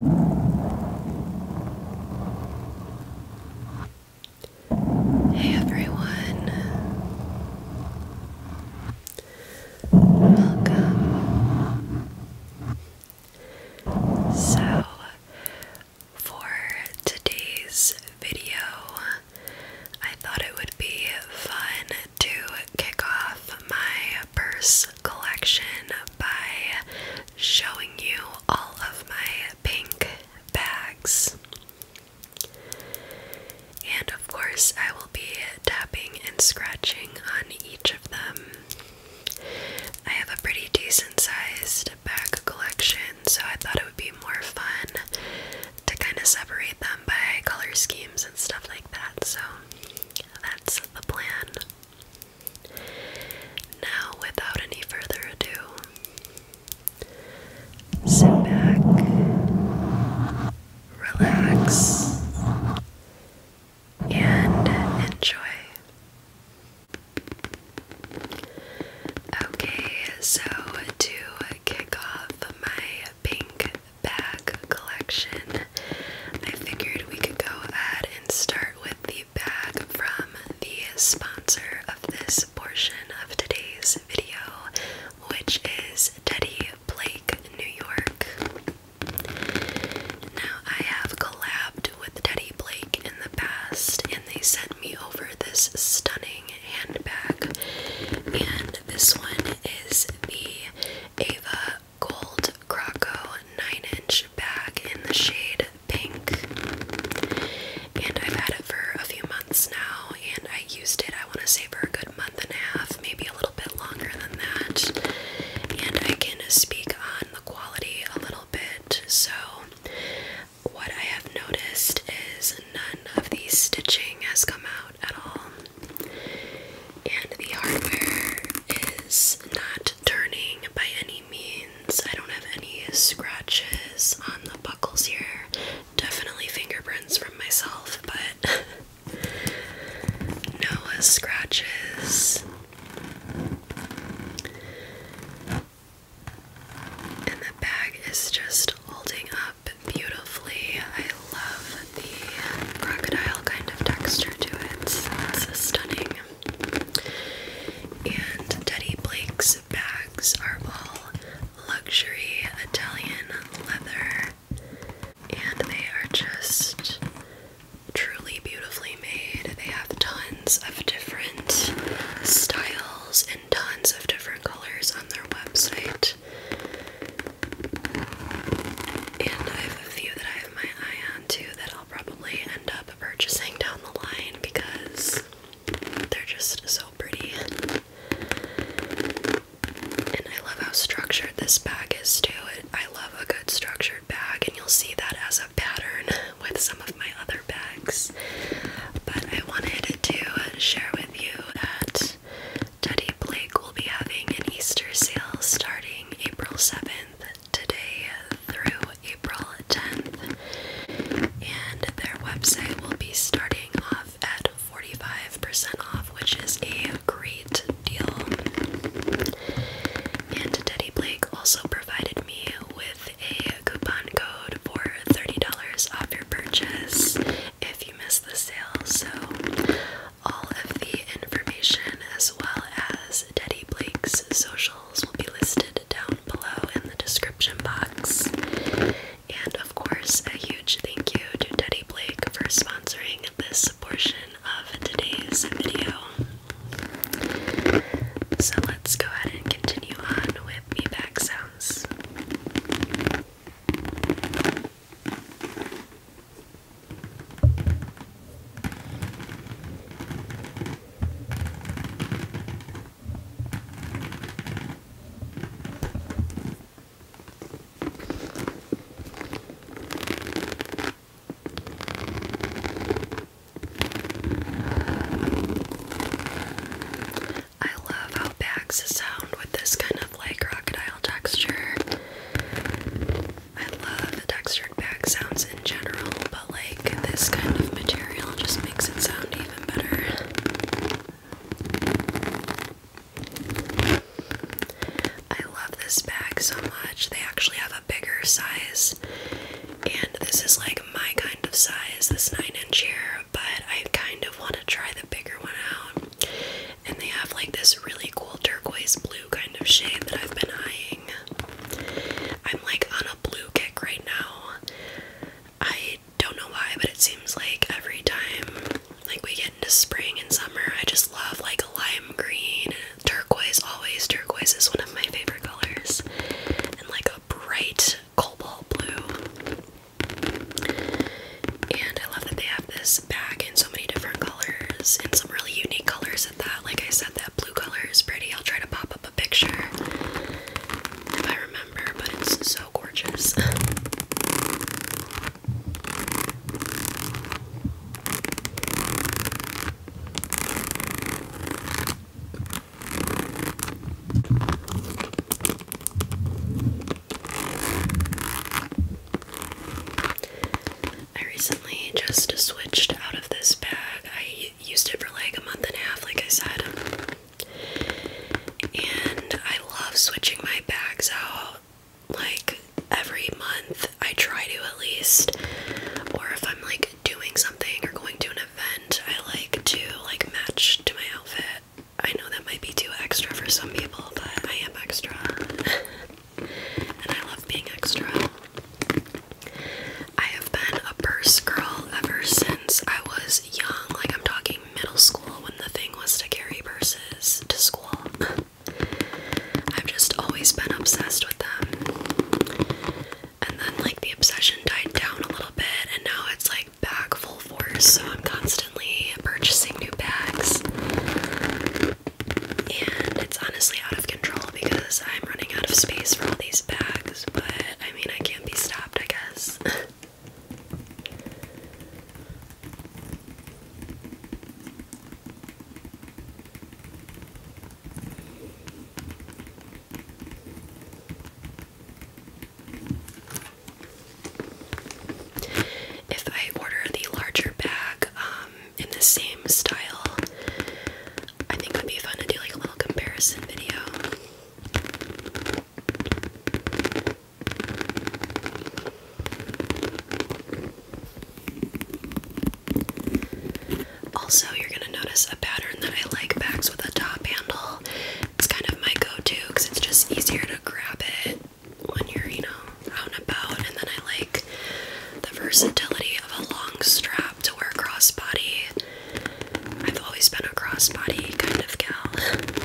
Hey everyone, welcome. So, for today's video, I thought it would be fun to kick off my purse collection by showing you all of my pink bags. And of course, I will be tapping and scratching on each of them. I have a pretty decent sized bag collection, so I thought it would be more fun to kind of separate them by color schemes and stuff like that. So that's the plan. Now, without any further ado, sit back, relax, and enjoy. Okay, so to kick off my pink bag collection, I figured we could go ahead and start with the bag from the sponsor of this portion of today's video, which is Teddy Blake New York. Now, I have collabed with Teddy Blake in the past, and they sent me over this stunning handbag. And this one is the Ava gold Croco 9 inch bag in the shade pink. And I've had it for a few months now, and I used it, I want to say, for a good month and a half, maybe a little bit longer than that. And I can speak on the quality a little bit. So, what I have noticed is none of the stitching has come out at all and the hardware is not turning by any means. I don't have any scratches on the buckles here. Definitely fingerprints from myself, but no scratches. And the bag is just holding up beautifully. I love the crocodile kind of texture to it. It's stunning. And Teddy Blake's bags are all luxury Italian leather, and they are just truly beautifully made. They have tons of different styles and tons of different colors on their website. And I have a few that I have my eye on on that I'll probably end up purchasing down the line because they're just so pretty. And I love how structured this bag is too. I love a good structured bag, and you'll see that as a pattern with some of my other bags. But I wanted to share with you that Teddy Blake will be having an Easter sale starting April 7th today through April 10th, and their website will be starting off at 45% off, which is a great deal. And Teddy Blake also provided me with a coupon code for $30 off your purchase if you miss the sale. So all of the information as well as Daddy Blake's socials will be listed down below in the description box. And of course, a huge thank you to Daddy Blake for sponsoring this portion of today's video. So let's go ahead and continue on with me back sounds. I love how bags sound with this kind of like crocodile texture. I love the textured bag sounds in general, but like this kind of material just makes it sound even better. I love this bag so much. They actually have a bigger size, and this is like my kind of size, this 9 inch here, but I kind of want to try the bigger one out and they have like this really cool turquoise blue kind of shade that I've been eyeing. I'm like on a blue kick right now. I don't know why, but it seems like every time like we get into spring and summer, I just love like lime green, turquoise always. Turquoise is one of my favorite colors. And like a bright cobalt blue. And I love that they have this this bag in so many different colors and some really unique colors at that. Like I said, that blue color is pretty. I'll try to pop up a picture if I remember, but it's so gorgeous. I recently just switched out of this bag. I used it for like a month and a half, like I said. And I love switching my bags out like every month. I try to at least. Or if I'm like doing something or going to an event, I like to like match to my outfit. I know that might be too extra for some people, but I am extra. and I love being extra. I have been a purse girl ever since I was young, like I'm talking middle school when the thing was to carry purses to school. I've just always been obsessed with them. And then, like, the obsession died down a little bit, and now it's like back full force, so I'm constantly purchasing new bags and it's honestly out of control because I'm running out of space for all these bags, but I mean, I can't be stopped, I guess. If I order the larger bag, um, in the same style. I think it would be fun to do like a little comparison video. Also, you're gonna notice a pattern that I like bags with a top handle. It's kind of my go-to because it's just easier to grab it when you're, you know, out and about. And then I like the versatility of a long strap to wear crossbody. I've always been a crossbody kind of gal.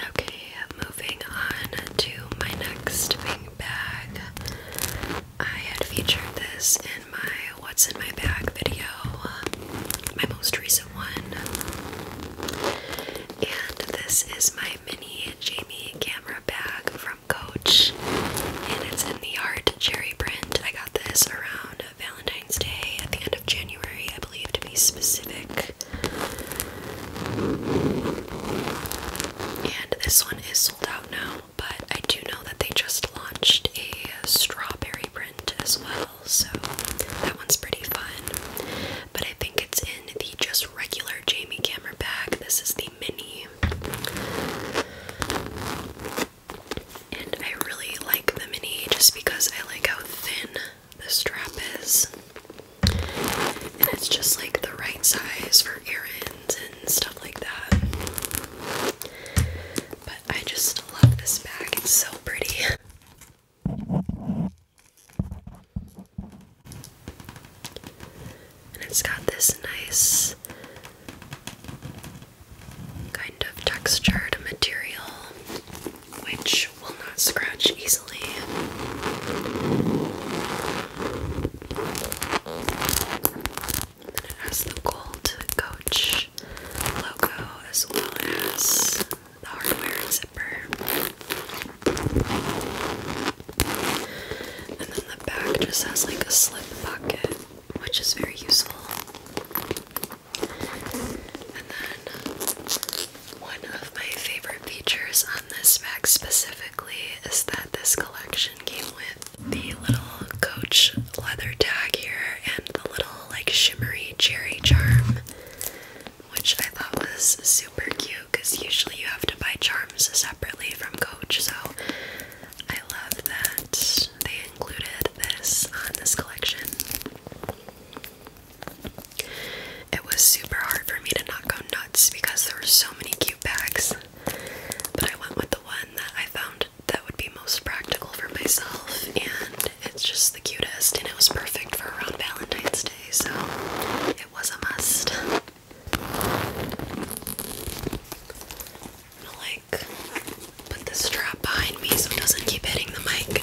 Okay, moving on to my next big bag. I had featured this in my What's in My Bag video, my most recent one. And this is my mini Jamie camera bag from Coach. And it's in the Art Cherry print. I got this around Valentine's Day at the end of January, I believe, to be specific. And this one is sold out now, but I do know that they just launched a strawberry print as well so that one's pretty fun. But I think it's in the just regular Jamie Camera bag. This is the mini. And I really like the mini just because I like how thin the strap is. And it's just like the right size for errands and stuff like that. But I just love this bag, it's so pretty. And it's got this nice kind of textured material which will not scratch easily. And it has the gold coach logo as well as the hardware zipper. And then the back just has like a slip pocket, which is very useful. And then one of my favorite features on this bag specifically is that this collection came with the little coach leather tag here and the little like shimmery cherry charm which I thought was super cute because usually you have to buy charms separately from Coach, so I love that they included this on this collection. It was super hard for me to not go nuts because there were so many cute bags, but I went with the one that I found that would be most practical for myself and it's just the cutest, and it was perfect for around Valentine's Day, so it was a must. gonna like put the strap behind me so it doesn't keep hitting the mic.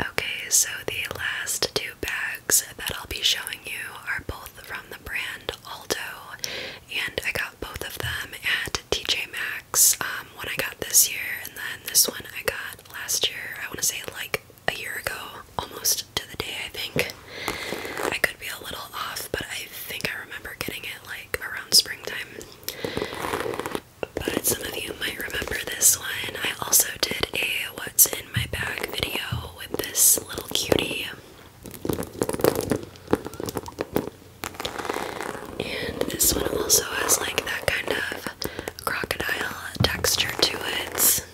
Okay, so the last two bags that I'll be showing you are both from the brand Aldo, and I got both of them at TJ Maxx. Um, one I got this year, and then this one I got last year. I want to say like a year ago, almost to the day, I think. I could be a little off, but I think I remember getting it like around springtime. But some of you might remember this one. I also did a what's in my bag video with this little cutie. And this one also has like that kind of crocodile texture to it.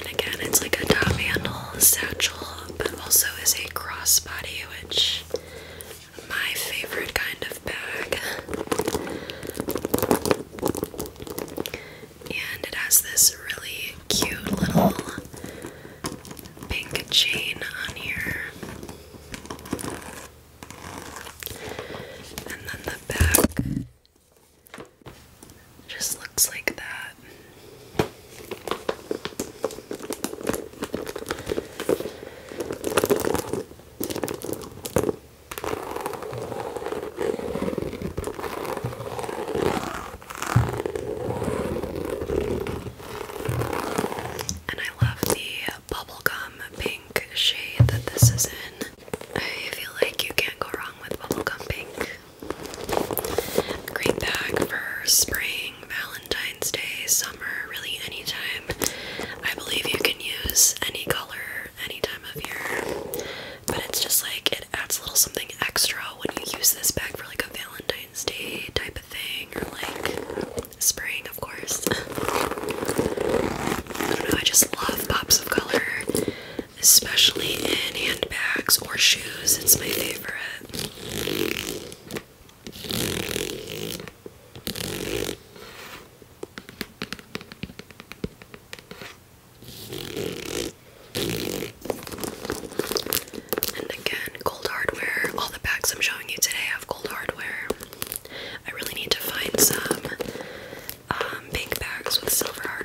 And again, it's like a top handle satchel, but also is a crossbody, which my favorite kind of bag. And it has this really cute little pink chain on here. And then the back just looks like that. And I love the bubblegum pink shade that this is in. I feel like you can't go wrong with bubblegum pink. Great bag for spring, Valentine's Day, summer, really any time. I believe you can use any color any time of year. But it's just like it adds a little something extra when you use this bag for like a Valentine's Day type of thing, or like spring, of course. I just love pops of color, especially in handbags or shoes. It's my favorite. And again, gold hardware. All the packs I'm showing you today have gold hardware. I really need to find some pink um, bags with silver hardware.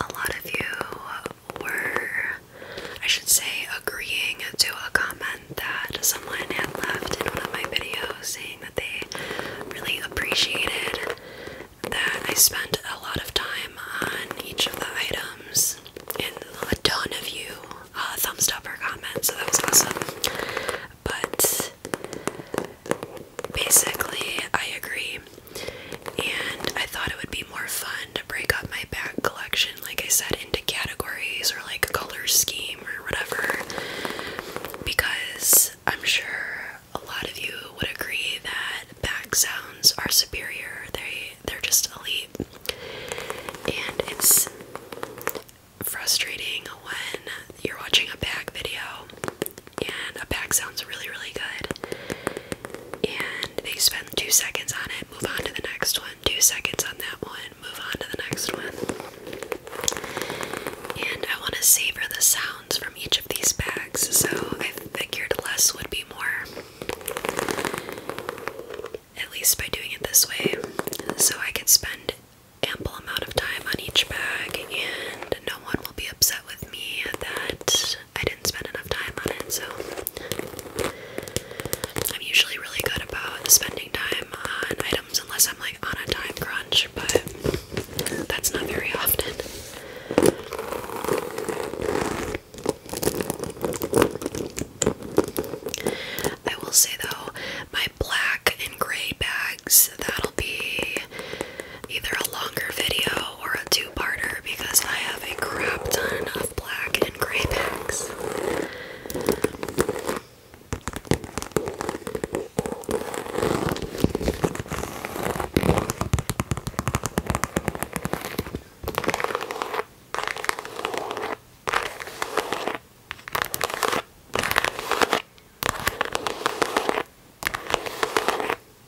A lot of you were, I should say, agreeing to a comment that someone had left in one of my videos saying that they really appreciated that I spent a lot of time on each of the items, and a ton of you uh, thumbs up or comments, so that was awesome. But basically, I agree, and I thought it would be more fun break up my bag collection, like I said, into categories or like a color scheme or whatever. Because I'm sure a lot of you would agree that bag sounds are superior. They they're just elite. And it's frustrating when you're watching a bag video and a bag sounds really really good and they spend two seconds on it, move on to the next one, two seconds on that one, move on to the next one. And I want to savor the sounds from each of these bags, so I figured less would be more, at least by doing it this way, so I could spend ample amount of time on each bag and no one will be upset with me that I didn't spend enough time on it, so I'm usually really good about spending time on items unless I'm like on a time crunch, but that's not very often. I will say though, my black and gray bags, that'll be either a longer video or a two-parter because I have a crap ton of black and gray packs.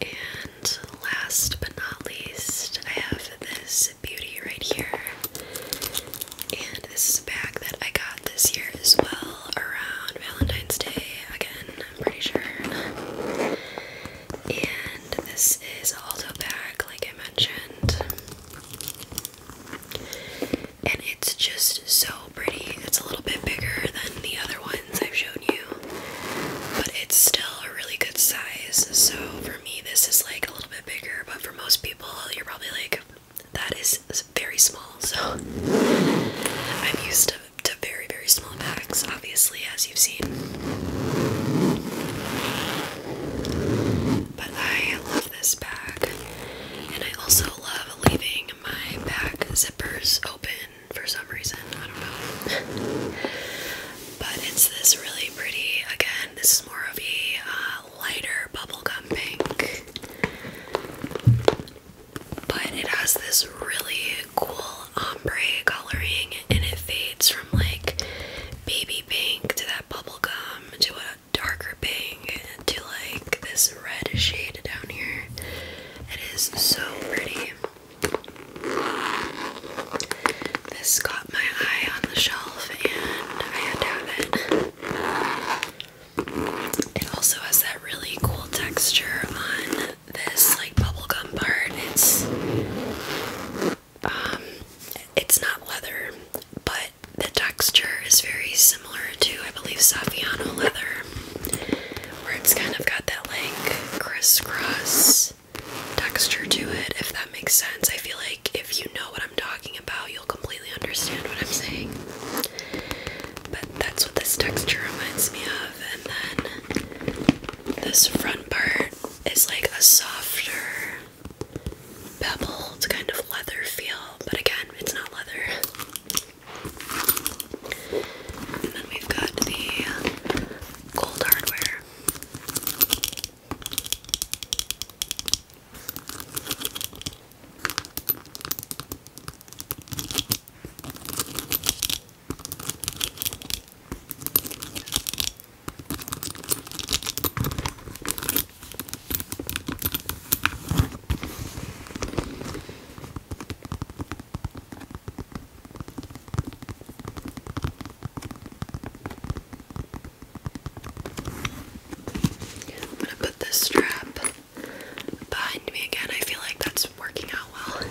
And last but not least, I have this beauty right here. And this is a bag that I got this year as well around Valentine's Day again, I'm pretty sure. And this is a bag, like I mentioned. And it's just so pretty. It's a little bit bigger than the other ones I've shown you but it's still a really good size. So for me, this is like a little bit bigger, but for most people, you're probably like, that is very small. So I'm used to, very, very small bags, obviously, as you've seen. But I love this bag, and I also love leaving my bag zippers open for some reason. I don't know. but it's this really pretty, again, this is more of a uh, lighter bubblegum pink. But it has this really cool ombre coloring and it fades from like baby pink to that bubblegum to a darker pink to like this red shade down here. It is so pretty. This got my eye on the shelf and I had to have it. It also has that really cool texture on this like bubblegum part. It's um it's not leather, but the texture is very similar to I believe Saffiano leather where it's kind of got that like crisscross texture to it, if that makes sense. I feel like if you know what I'm talking about, you'll completely understand what I'm saying. But that's what this texture reminds me of, and then this front part is like a softer beveled kind of leather feel, but again, it's not leather. And then we've got the gold hardware. I'm gonna put this strap behind me again. I feel like that's working out well.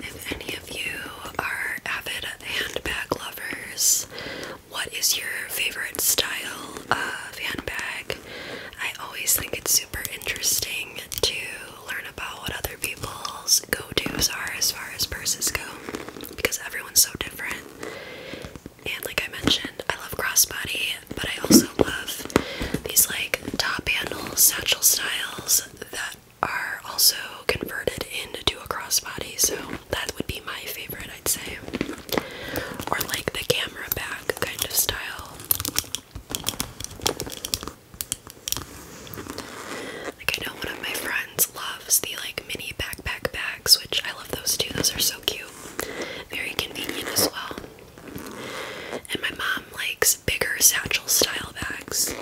If any of you are avid handbag lovers, what is your favorite style of handbag? I always think it's super interesting to learn about what other people's go-tos are as far as purses go because everyone's so different and like I mentioned, I love crossbody, but I also love these like top handle satchel styles that are also converted into a crossbody. So that would be my favorite, I'd say. Or like the camera back kind of style. Like I know one of my friends loves the like mini backpack bags, which I love those too. Those are so cute. Very convenient as well. And my mom likes bigger satchel style bags.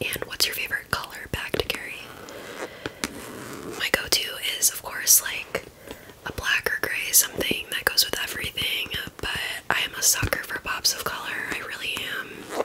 And what's your favorite color bag to carry? My go to is, of course, like a black or gray, something that goes with everything, but I am a sucker for pops of color. I really am.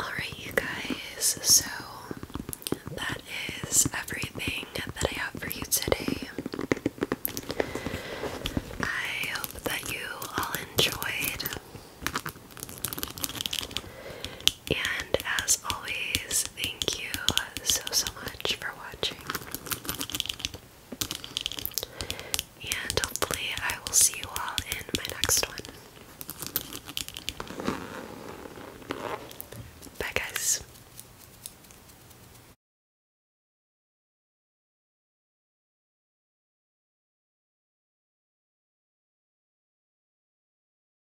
Alright, you guys, so that is everything that I have for you today. I hope that you all enjoyed. And as always, thank you so so much for watching. And hopefully, I will see you all in my next one. Bye, guys.